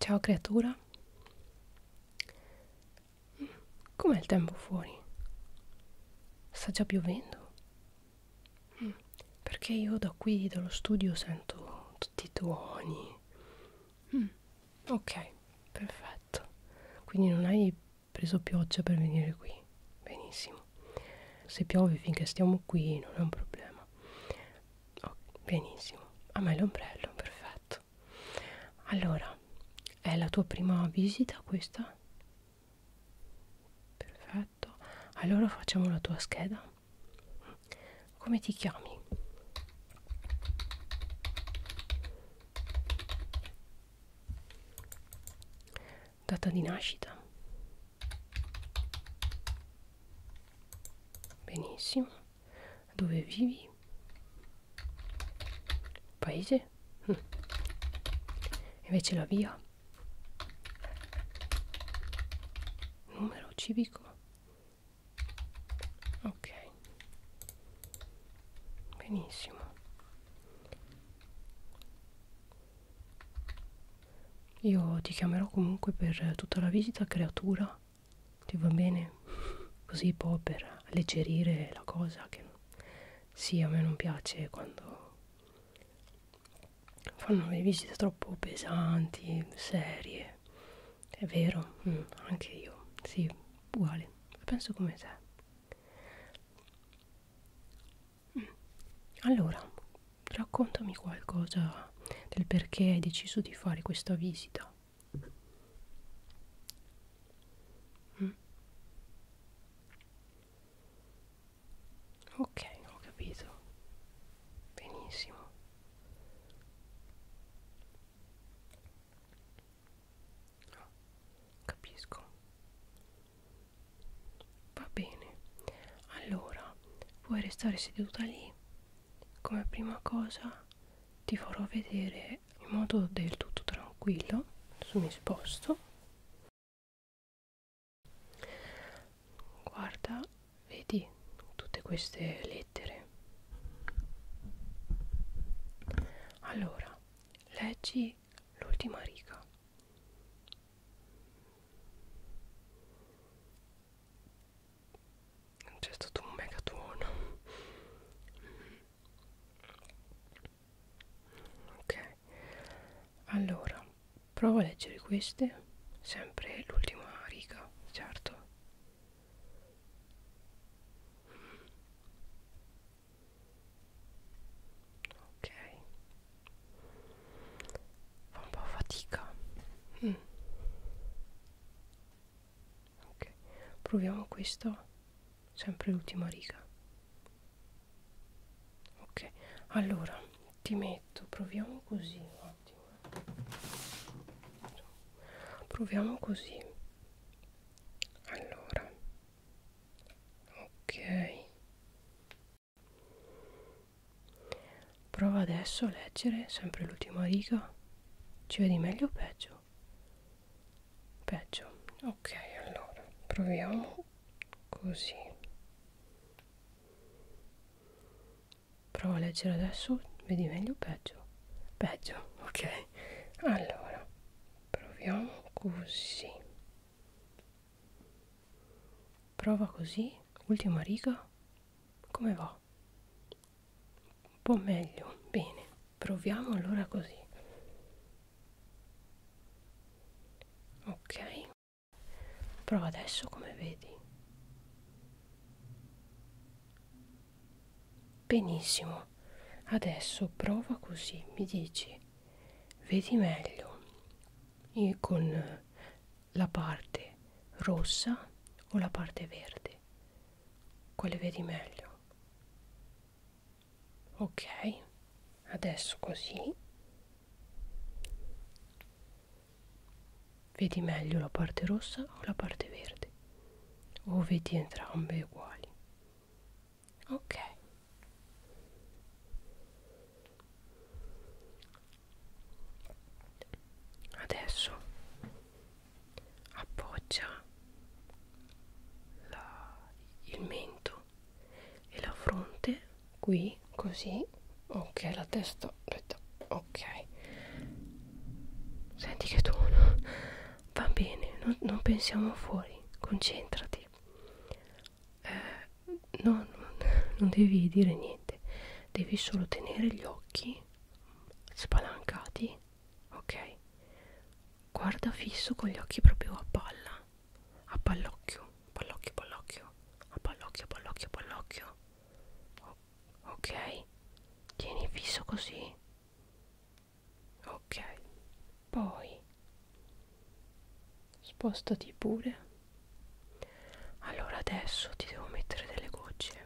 Ciao creatura. Com'è il tempo fuori? Sta già piovendo? Mm, perché io da qui, dallo studio, sento tutti i tuoni. Mm, ok, perfetto. Quindi non hai preso pioggia per venire qui. Benissimo. Se piove finché stiamo qui non è un problema. Oh, benissimo, a me l'ombrello, perfetto. Allora, è la tua prima visita questa? Perfetto. Allora facciamo la tua scheda. Come ti chiami? Data di nascita. Benissimo dove vivi paese hm. invece la via numero civico ok benissimo io ti chiamerò comunque per tutta la visita creatura ma ti va bene così po' per alleggerire la cosa che sì a me non piace quando fanno le visite troppo pesanti, serie è vero, mm, anche io, sì, uguale, penso come te mm. allora, raccontami qualcosa del perché hai deciso di fare questa visita. Mm. Ok, ho capito. Benissimo. Oh, capisco. Va bene. Allora, puoi restare seduta lì come prima cosa ti farò vedere in modo del tutto tranquillo adesso mi sposto guarda vedi tutte queste lettere allora leggi l'ultima riga c'è stato certo un mega tuono Ok Allora Provo a leggere queste Sempre l'ultima riga Certo Ok fa un po' fatica mm. ok proviamo questo sempre l'ultima riga ok allora ti metto proviamo così un attimo eh. proviamo così allora ok Prova adesso a leggere sempre l'ultima riga. Ci vedi meglio o peggio? Peggio. Ok, allora proviamo così. Prova a leggere adesso, vedi meglio o peggio? Peggio, ok. Allora, proviamo così prova così ultima riga come va un po' meglio bene proviamo allora così ok prova adesso come vedi benissimo adesso prova così mi dici vedi meglio e con la parte rossa o la parte verde quale vedi meglio ok adesso così vedi meglio la parte rossa o la parte verde o vedi entrambe uguali ok adesso appoggia la, il mento e la fronte qui così ok la testa ok senti che tono va bene non, non pensiamo fuori concentrati eh, no, non, non devi dire niente, devi solo tenere gli occhi spalancati, ok? Guarda fisso con gli occhi proprio a palla, a pallocchio, pallocchio, pallocchio, a pallocchio, pallocchio, pallocchio, ok? Tieni fisso così, ok? Poi spostati pure allora adesso ti devo mettere delle gocce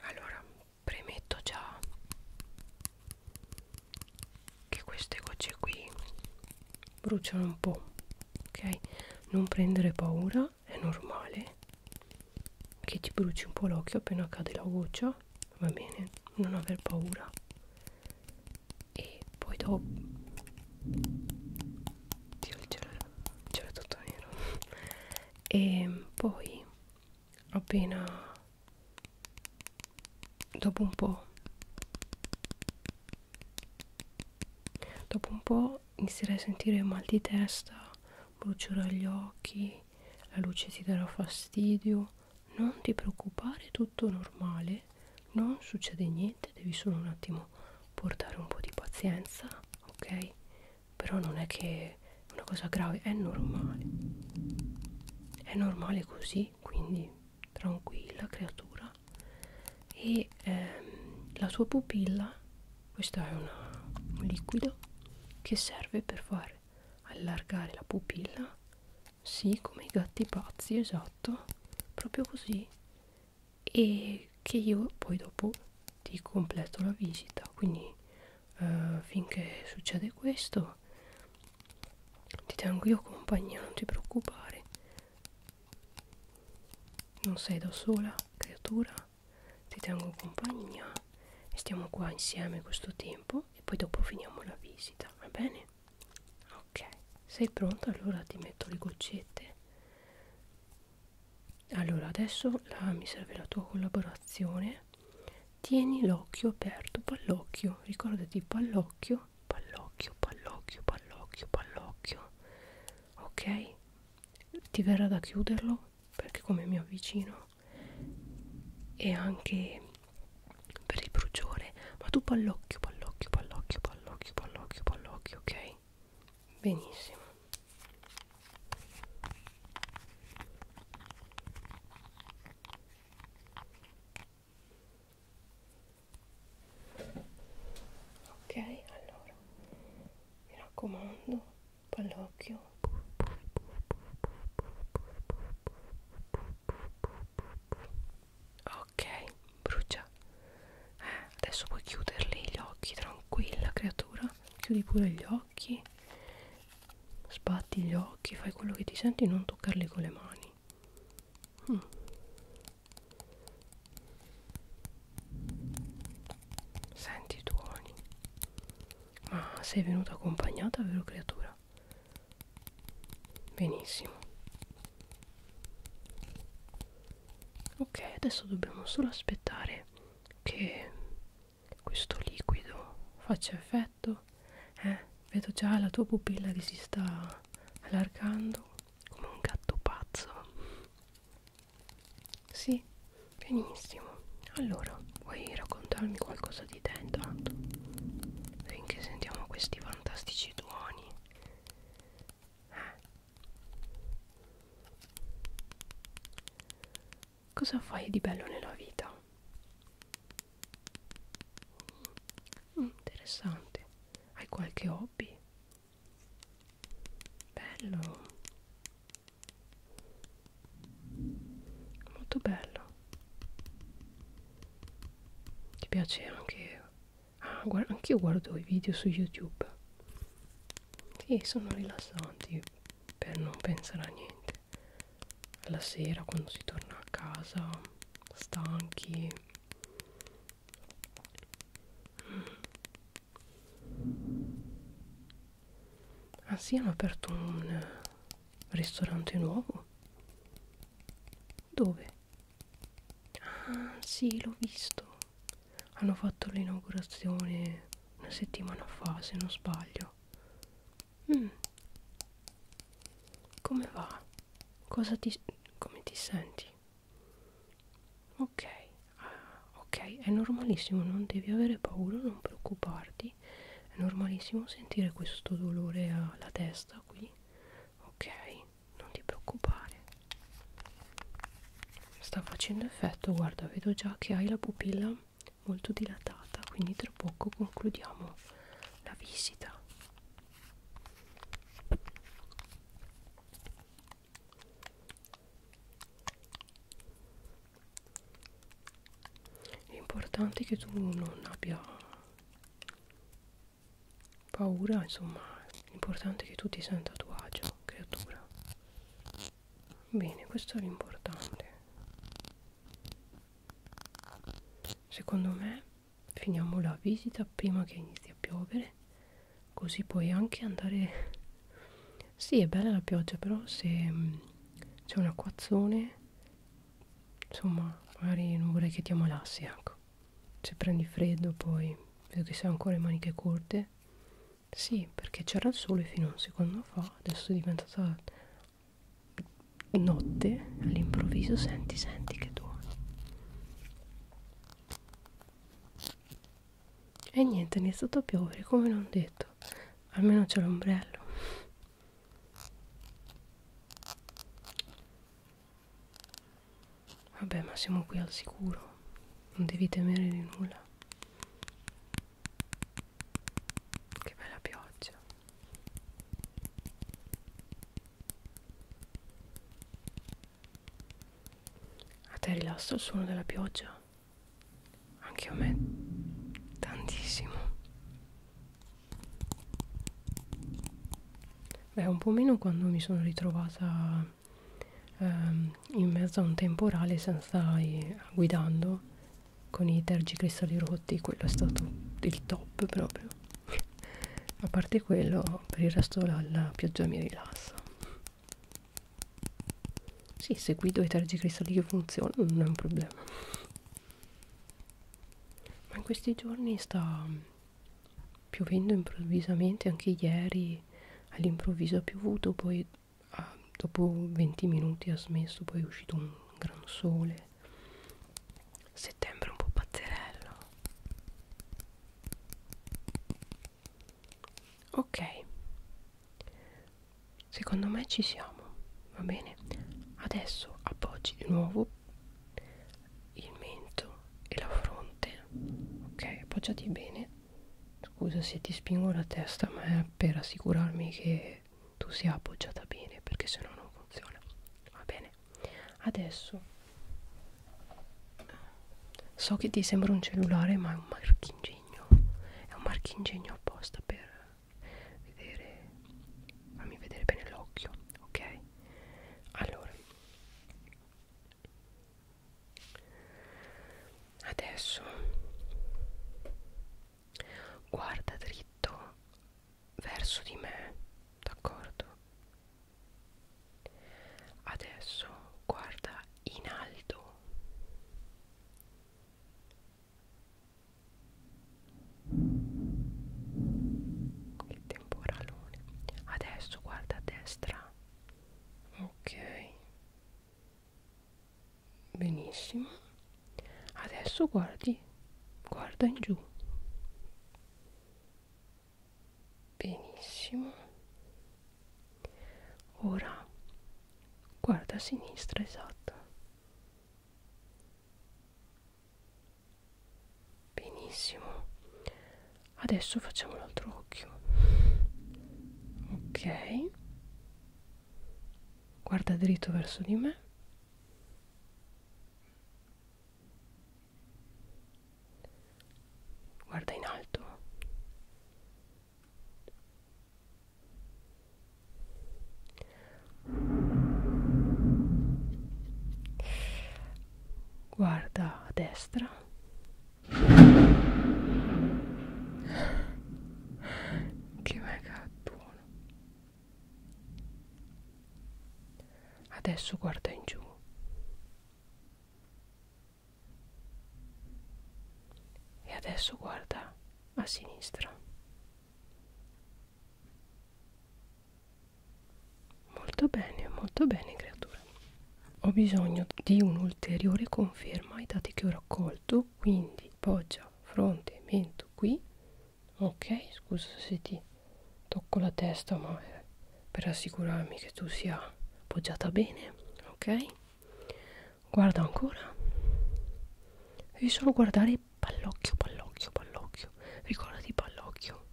allora premetto già che queste gocce qui bruciano un po' ok non prendere paura è normale che ti bruci un po' l'occhio appena cade la goccia va bene non aver paura e poi dopo Dio il cielo, il cielo è tutto nero e poi appena dopo un po' dopo un po' inizierai a sentire mal di testa brucerà gli occhi, la luce ti darà fastidio. Non ti preoccupare, tutto normale, non succede niente, devi solo un attimo portare un po' di pazienza, ok? Però non è che è una cosa grave, è normale. È normale così, quindi tranquilla creatura. E ehm, la tua pupilla questo è una, un liquido che serve per far allargare la pupilla sì come i gatti pazzi esatto proprio così e che io poi dopo ti completo la visita quindi eh, finché succede questo ti tengo io compagnia non ti preoccupare non sei da sola creatura ti tengo compagnia e stiamo qua insieme questo tempo e poi dopo finiamo la visita, va bene? Ok, sei pronta? Allora ti metto le goccette. Allora adesso la, mi serve la tua collaborazione. Tieni l'occhio aperto, pallocchio, ricordati pallocchio, pallocchio, pallocchio, pallocchio, pallocchio. Ok? ti verrà da chiuderlo perché come mi avvicino e anche per il bruciore ma tu pallocchio pallocchio pallocchio pallocchio pallocchio pallocchio ok benissimo ok allora mi raccomando pallocchio ok brucia eh, adesso puoi chiuderli gli occhi tranquilla creatura chiudi pure gli occhi Sbatti gli occhi, fai quello che ti senti, non toccarli con le mani. Mm. Senti i tuoni. Ma sei venuta accompagnata, vero creatura? Benissimo. Ok, adesso dobbiamo solo aspettare che questo liquido faccia effetto. Eh, vedo già la tua pupilla che si sta allargando come un gatto pazzo sì benissimo allora vuoi raccontarmi qualcosa di te intanto finché sentiamo questi fantastici tuoni eh. cosa fai di bello nella vita mm, interessante hai qualche hobby bello molto bello ti piace anche ah guarda anch'io guardo i video su youtube sì sono rilassanti per non pensare a niente alla sera quando si torna a casa stanchi Ah sì, hanno aperto un ristorante nuovo. Dove? Ah sì, l'ho visto. Hanno fatto l'inaugurazione una settimana fa, se non sbaglio. Mm. Come va? Cosa ti... come ti senti? occhi ok ah, ok è normalissimo non devi avere paura non preoccuparti è normalissimo sentire questo dolore alla testa qui ok non ti preoccupare sta facendo effetto guarda vedo già che hai la pupilla molto dilatata quindi tra poco concludiamo la visita L'importante è che tu non abbia paura, insomma, l'importante è che tu ti senta a tuo agio, creatura. Bene, questo è l'importante. Secondo me finiamo la visita prima che inizi a piovere così puoi anche andare sì è bella la pioggia però se mm, c'è un acquazzone insomma magari non vorrei che ti ammalassi ecco se prendi freddo poi vedo che sei ancora le maniche corte sì perché c'era il sole fino a un secondo fa adesso è diventata notte all'improvviso senti, senti che tuoni. E niente, è iniziato a piovere, come non detto. Almeno c'è l'ombrello. Vabbè, ma siamo qui al sicuro. Non devi temere di nulla. Che bella pioggia. A te rilassa il suono della pioggia? Anche a me, tantissimo. Beh, un po' meno quando mi sono ritrovata ehm, in mezzo a un temporale senza i, guidando con i tergicristalli rotti, quello è stato il top proprio a parte quello per il resto la, la pioggia mi rilassa sì se guido i tergicristalli che funzionano non è un problema ma in questi giorni sta piovendo improvvisamente anche ieri all'improvviso ha piovuto poi ah, dopo 20 minuti ha smesso poi è uscito un gran sole settembre un po' pazzerello ok secondo me ci siamo va bene adesso appoggi di nuovo il mento e la fronte ok appoggiati bene scusa se ti spingo la testa ma è per assicurarmi che che tu sia appoggiata bene perché sennò non funziona va bene adesso so che ti sembra un cellulare ma è un marchingegno è un marchingegno apposta per vedere fammi vedere bene l'occhio ok allora adesso guarda dritto verso di me, d'accordo? Adesso guarda in alto. Che temporalone. Adesso guarda a destra. Ok benissimo adesso guardi guarda in giù benissimo ora guarda a sinistra esatto benissimo adesso facciamo l'altro occhio ok guarda dritto verso di me Guarda in alto. Guarda a destra. Che mega tuono lontano. Adesso guarda in giù. E adesso guarda a sinistra. Molto bene, molto bene creatura. Ho bisogno di un'ulteriore conferma ai dati che ho raccolto mento quindi poggia fronte mento qui ok scusa se ti tocco la testa ma per assicurarmi che tu sia poggiata bene ok guarda ancora devi solo guardare pallocchio pallocchio pallocchio ricordati pallocchio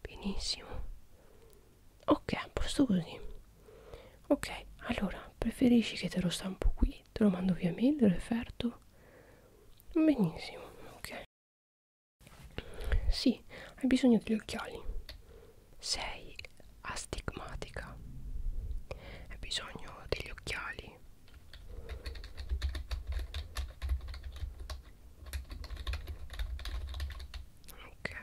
benissimo ok a posto così ok allora preferisci che te lo stampo qui te lo mando via mail referto benissimo ok sì hai bisogno degli occhiali sei astigmatica hai bisogno degli occhiali ok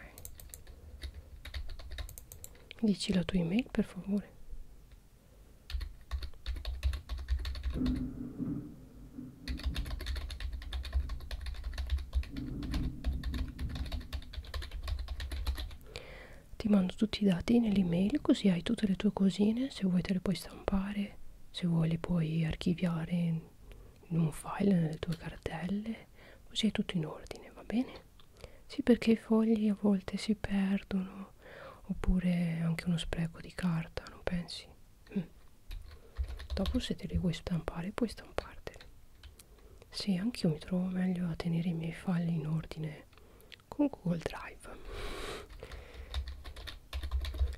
dici la tua email per favore ti mando tutti i dati nell'email così hai tutte le tue cosine se vuoi te le puoi stampare se vuoi le puoi archiviare in un file nelle tue cartelle così è tutto in ordine va bene sì, perché i fogli a volte si perdono, oppure anche uno spreco di carta, non pensi? Mm. Dopo se te li vuoi stampare, puoi stamparteli. Sì, anch'io mi trovo meglio a tenere i miei file in ordine con Google Drive.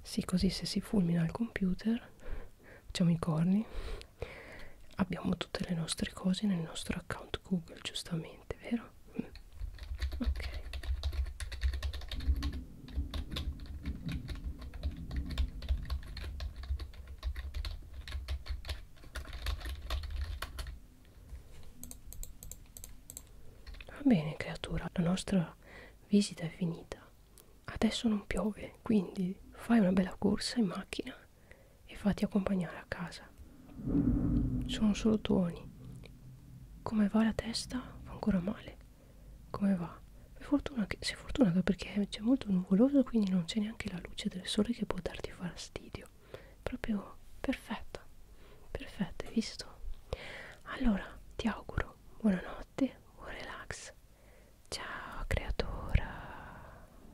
Sì, così se si fulmina il computer, facciamo i corni, abbiamo tutte le nostre cose nel nostro account Google, giustamente, vero? Mm. Ok. Va bene creatura, la nostra visita è finita. Adesso non piove, quindi fai una bella corsa in macchina e fatti accompagnare a casa. Sono solo tuoni. Come va la testa? Fa ancora male. Come va? Per fortuna che, sei fortunata perché c'è molto nuvoloso, quindi non c'è neanche la luce del sole che può darti fastidio. Proprio perfetta. Perfetta, hai visto? Allora, ti auguro buonanotte, buon relax. Ciao, creatura.